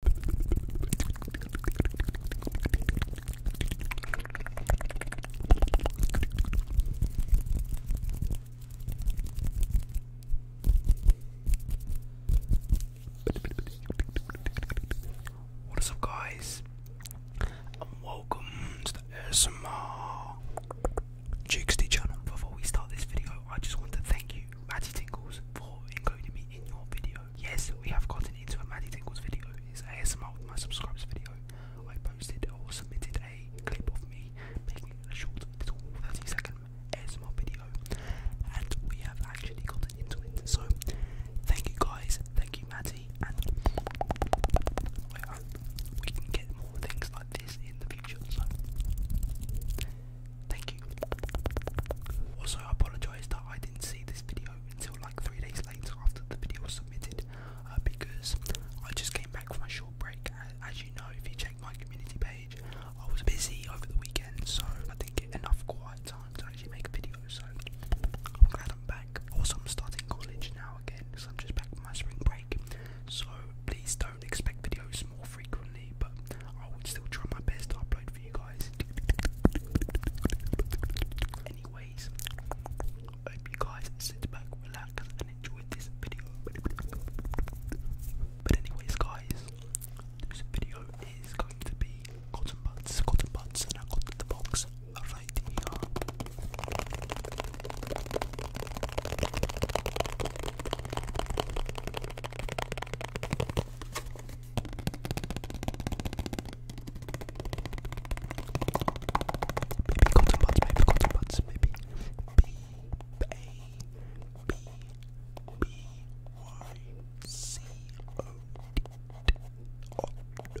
What is up, guys? And welcome to the ASMR Jukesty channel. Before we start this video, I just want to thank you, Ratty Tingles, for including me in your video yes, we have gotten into a Maddie Tingles video. It's ASMR with my subscribers video. I posted or submitted a clip of me making a short little 30 second ASMR video, and we have actually gotten into it. So, thank you guys, thank you, Maddie, and we can get more things like this in the future. So, Thank you. Also, I apologise that I didn't see this video until like three days later after the video was submitted uh, because I just came back from a short break. As you know, if you check my community page, I was busy over the weekend, so I didn't get enough quiet time to actually make a video. So I'm glad I'm back. Also, I'm starting college now again, so I'm just back from my spring break. So please don't expect videos more frequently, but I would still try my best to upload for you guys. Anyways, hope you guys sit back, relax, and enjoy this video. But anyways, guys, this video is going to be cotton buds, cotton buds, and I got box right Maybe cotton buds, maybe cotton buds, maybe. B A B B Y C O D.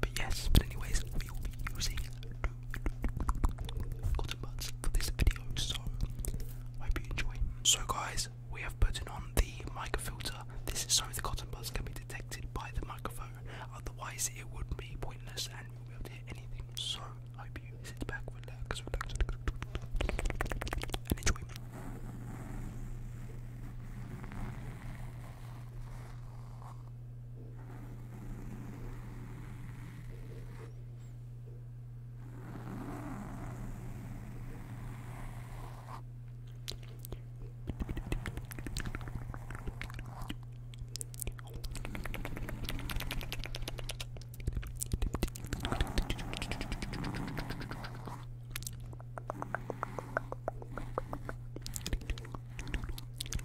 But yes, but anyways, we will be using cotton buds for this video, so hope you enjoy. So guys, we have put on the microfilter. This is so the cotton buds can be detected by the microphone otherwise it would be pointless and we won't be anything. So I hope you sit back, relax, relax, and enjoy.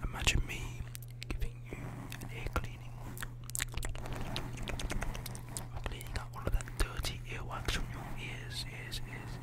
Imagine me giving you an ear cleaning. I'm cleaning up all of that dirty earwax from your ears, ears, ears,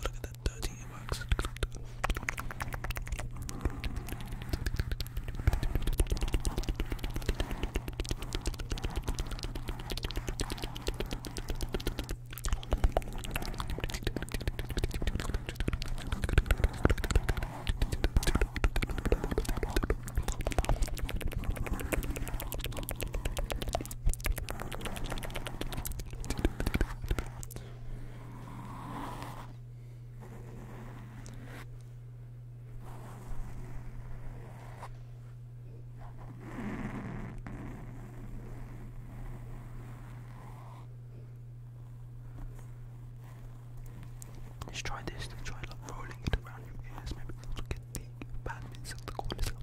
look at that dirty wax. Let's try this, let's try rolling it around your ears, maybe it'll get the bad bits of the corners out.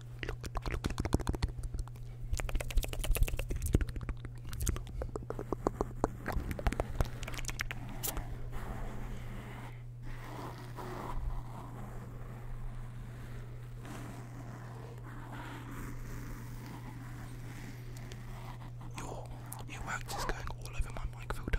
Your your wax is going all over my mic filter.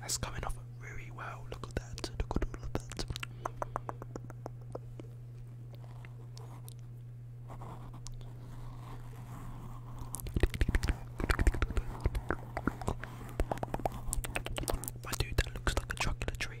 That's coming off very well. Look at that. Look at that. My dude, that looks like a chocolate tree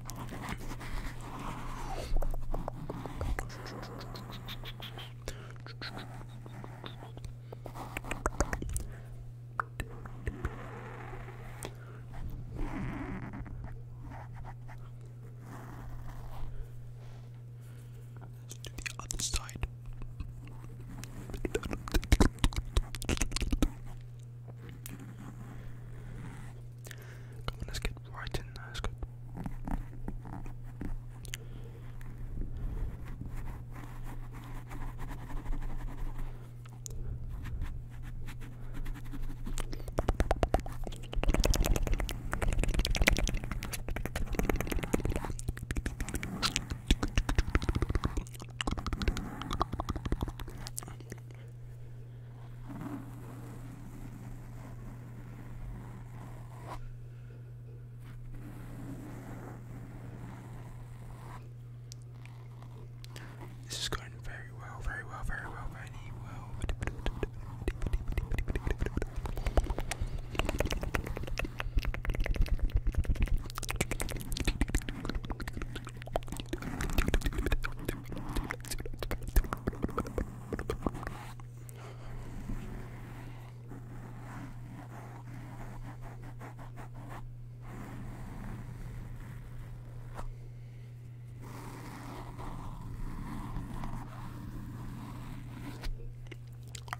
Let's do the other side. Come on, let's get right in there. Let's go. This is going very well, very well, very well, very well.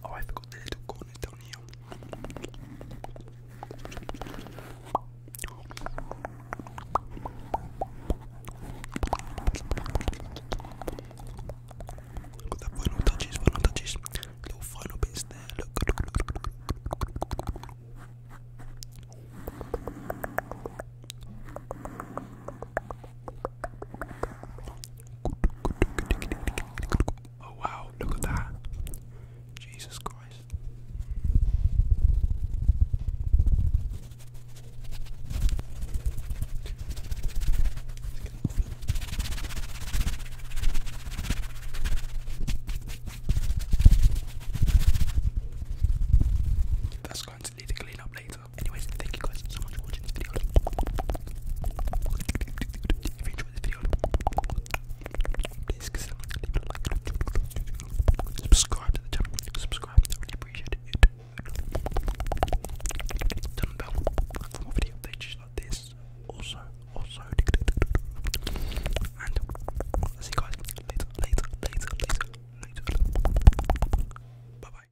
Oh, I forgot the little corners down here. Got the final touches, final touches, Oh wow, look at that. Jesus Christ. That's going to need to clean up later. Anyways, thank you guys so much for watching this video. If you enjoyed this video, Please consider leaving a like. Subscribe to the channel. Subscribe. I really appreciate it. Turn the bell for more video updates like this. Also, also. And I'll see you guys later, later, later, later, later. Bye bye.